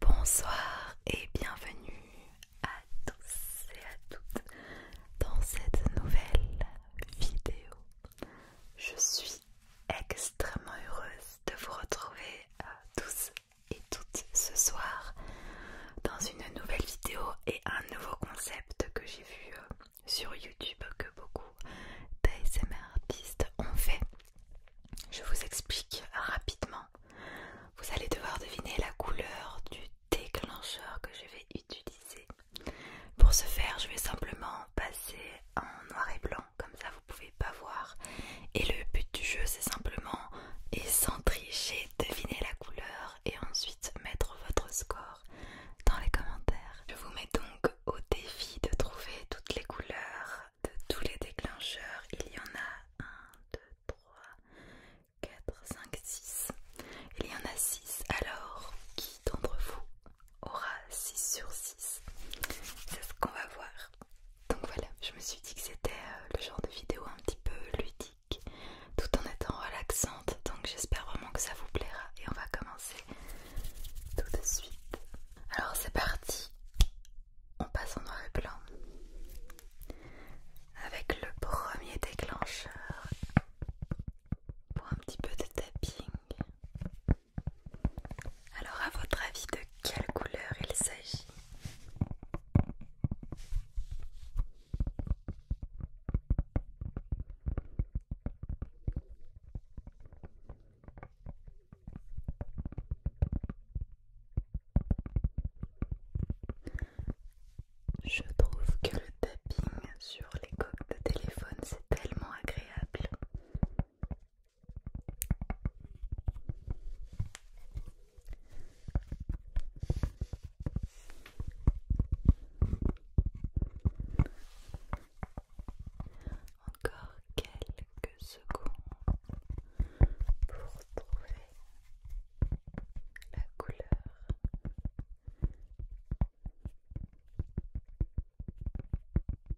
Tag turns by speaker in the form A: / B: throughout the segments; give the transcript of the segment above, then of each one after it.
A: Bonsoir et bienvenue à tous et à toutes dans cette nouvelle vidéo. Je suis extrêmement heureuse de vous retrouver euh, tous et toutes ce soir dans une nouvelle vidéo et un nouveau concept que j'ai vu euh, sur YouTube que beaucoup d'ASMR ont fait. Je vous explique rapidement. Vous allez devoir deviner la couleur du déclencheur que je vais utiliser pour ce faire, je vais simplement passer en noir et blanc, comme ça vous pouvez pas voir. Et le but du jeu, c'est simplement, et sans tricher, deviner la couleur et ensuite mettre votre score dans les commentaires. Je vous mets donc au défi de trouver toutes les couleurs de tous les déclencheurs. Il y en a 1, 2, 3, 4, 5, 6. Il y en a 6. Alors, qui d'entre vous aura 6 sur 6. C'est ce qu'on va voir. Donc voilà, je me suis dit que c'était euh, le genre de vidéo un petit peu ludique, tout en étant relaxante. Donc j'espère vraiment que ça vous plaira. Et on va commencer tout de suite. Alors c'est parti. On passe en noir et blanc. Avec le premier déclencheur pour un petit peu de tapping. Alors à votre avis de quelle couleur il s'agit je trouve que le tapping sur les coques de téléphone c'est tellement agréable. Encore quelques secondes pour trouver la couleur.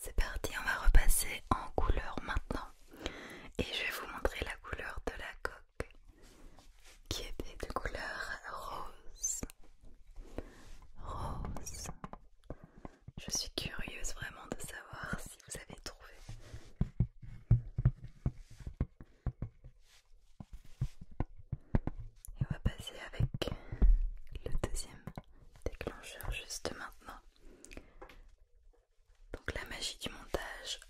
A: C'est parti, on va repasser en couleur maintenant. Et je vais vous montrer la couleur de la coque qui était de couleur rose. Rose. Je suis curieuse vraiment de savoir si vous avez trouvé. Et on va passer avec le deuxième déclencheur juste maintenant. Donc la magie du montage,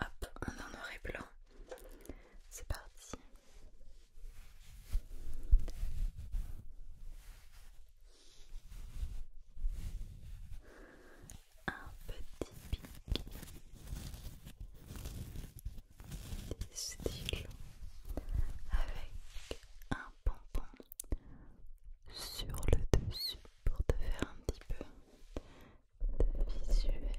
A: hop, on en et blanc. C'est parti. Un petit pic des styles avec un sur le dessus pour te faire un petit peu de visuel.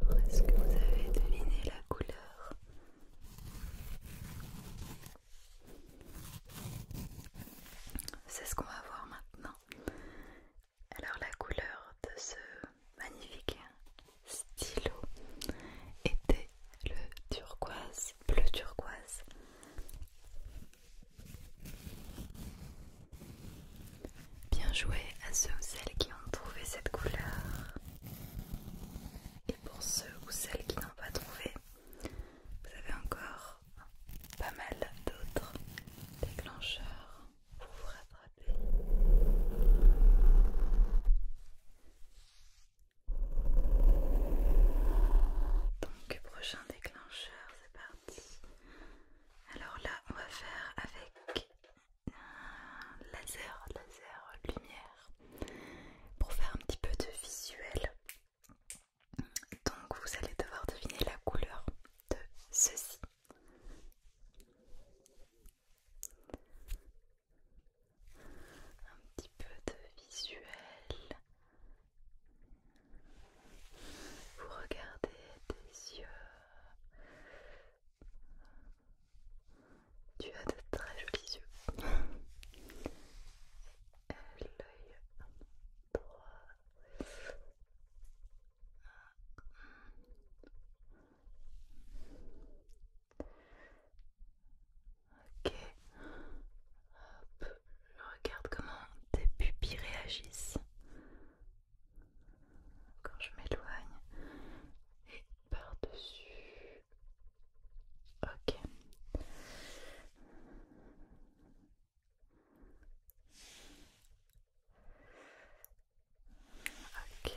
A: Alors, est-ce que vous avez deviné la couleur C'est ce qu'on va voir maintenant. Alors, la couleur de ce magnifique stylo était le turquoise, bleu turquoise. Bien joué à ceux ou celles qui ont trouvé cette couleur. Et pour ceux ou celles qui n'ont pas trouvé, vous avez encore pas mal d'autres déclencheurs pour vous rattraper. Donc prochain déclencheur, c'est parti. Alors là, on va faire avec un laser, laser lumière, pour faire un petit peu de visuel. Donc vous allez devoir deviner la couleur de ceci un petit peu de visuel. Vous regardez des yeux. Tu as de très jolis yeux. Ok. Hop. Je regarde comment tes pupilles réagissent quand je m'éloigne. Et par-dessus. Ok. Ok.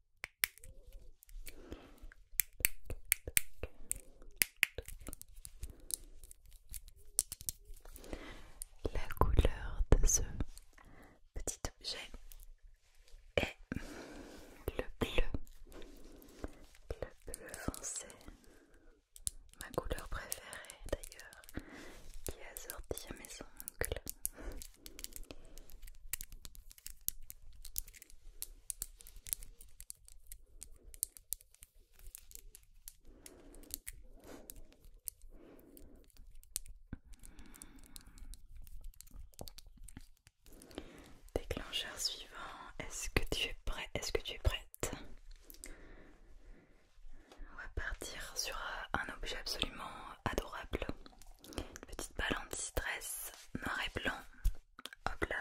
A: La couleur de ce petit objet est le bleu, le bleu foncé, ma couleur préférée d'ailleurs, qui est assortie à mes ongles. Déclencheur suivant, est-ce que tu es prêt Est-ce que tu es prête On va partir sur un objet absolument adorable une petite balle anti-stress noir et blanc. Hop là,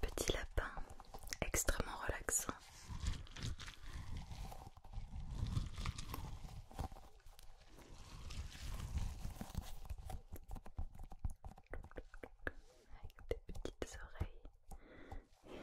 A: petit lapin extrêmement relaxant. Avec des petites oreilles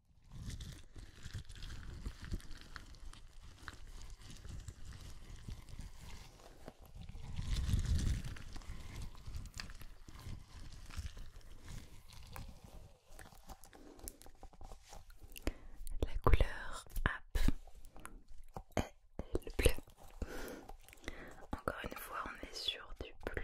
A: La couleur app est le bleu. Encore une fois, on est sur du bleu.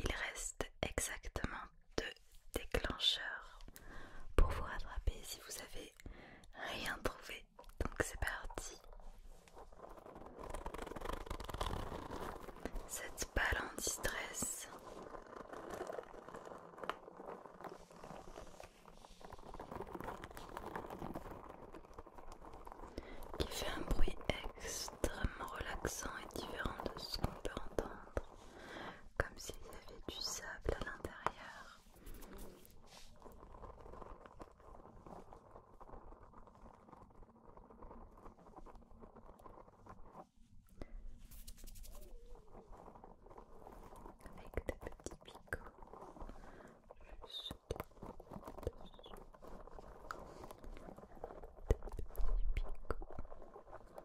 A: Il reste exactement deux déclencheur pour vous rattraper si vous avez rien trouvé. Donc c'est parti. Cette balle en distress qui fait un bruit extrêmement relaxant et différent de ce qu'on peut entendre comme s'il y avait du sable à l'intérieur. Avec des petits picots juste Des petits picots.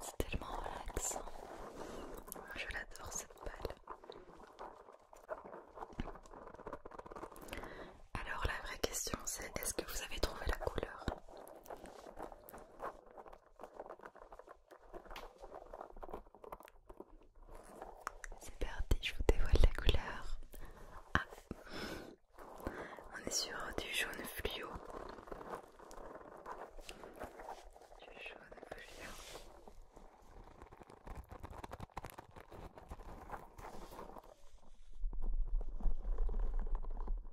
A: C'est tellement relaxant. Je l'adore cette balle. Alors la vraie question c'est est-ce que vous avez trouvé la couleur c'est parti, je vous dévoile la couleur. Ah. On est sur du jaune fluo. Du jaune fluo.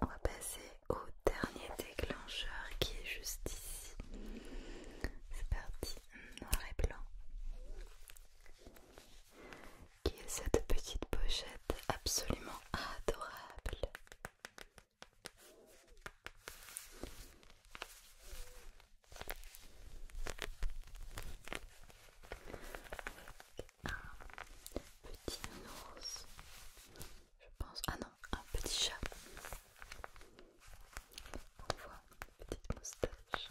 A: On va passer au dernier déclencheur qui est juste ici. C'est parti, noir et blanc. Qui est cette petite pochette absolument adorable un petit ours, je pense. Ah non, un petit chat. On voit une petite moustache.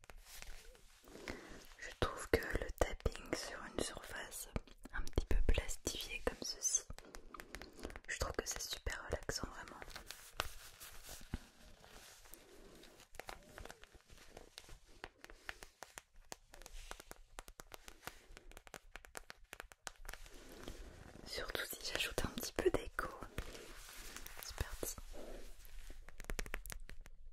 A: Je trouve que le tapping sur une surface un petit peu plastifiée comme ceci, je trouve que c'est super relaxant vraiment. Surtout si j'ajoute un petit peu d'écho. C'est parti.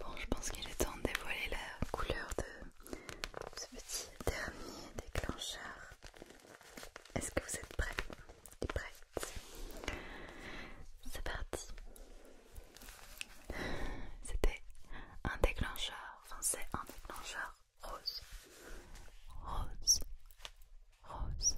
A: Bon, je pense qu'il est temps de dévoiler la couleur de ce petit dernier déclencheur. Est-ce que vous êtes prêts C'est parti. C'était un déclencheur, enfin c'est un déclencheur rose. Rose. Rose.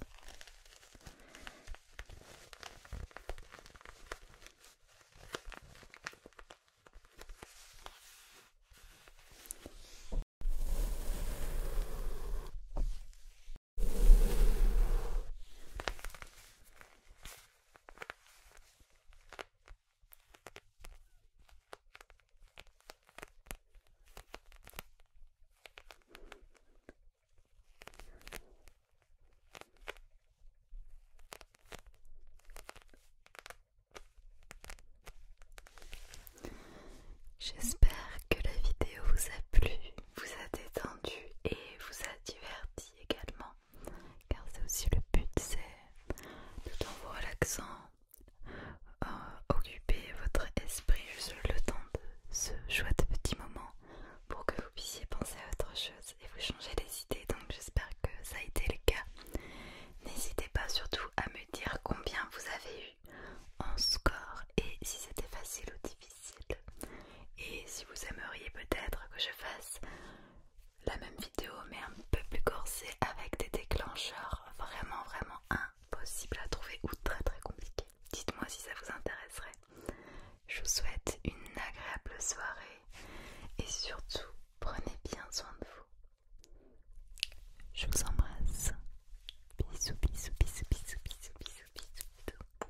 A: J'espère que la vidéo vous a plu, vous a détendu et vous a diverti également car c'est aussi le but, c'est tout en vous relaxant, occuper votre esprit juste le temps de ce chouette petit moment pour que vous puissiez penser à autre chose et vous changer les idées. Donc j'espère que ça a été le cas. N'hésitez pas surtout à me dire combien vous avez eu en score et si c'était facile ou difficile. Et si vous aimeriez peut-être que je fasse la même vidéo mais un peu plus corsée avec des déclencheurs vraiment vraiment impossibles à trouver ou très très compliqués. Dites-moi si ça vous intéresserait. Je vous souhaite une agréable soirée et surtout prenez bien soin de vous. Je vous embrasse. Bisous, bisous, bisous, bisous, bisous, bisous, bisous. bisous.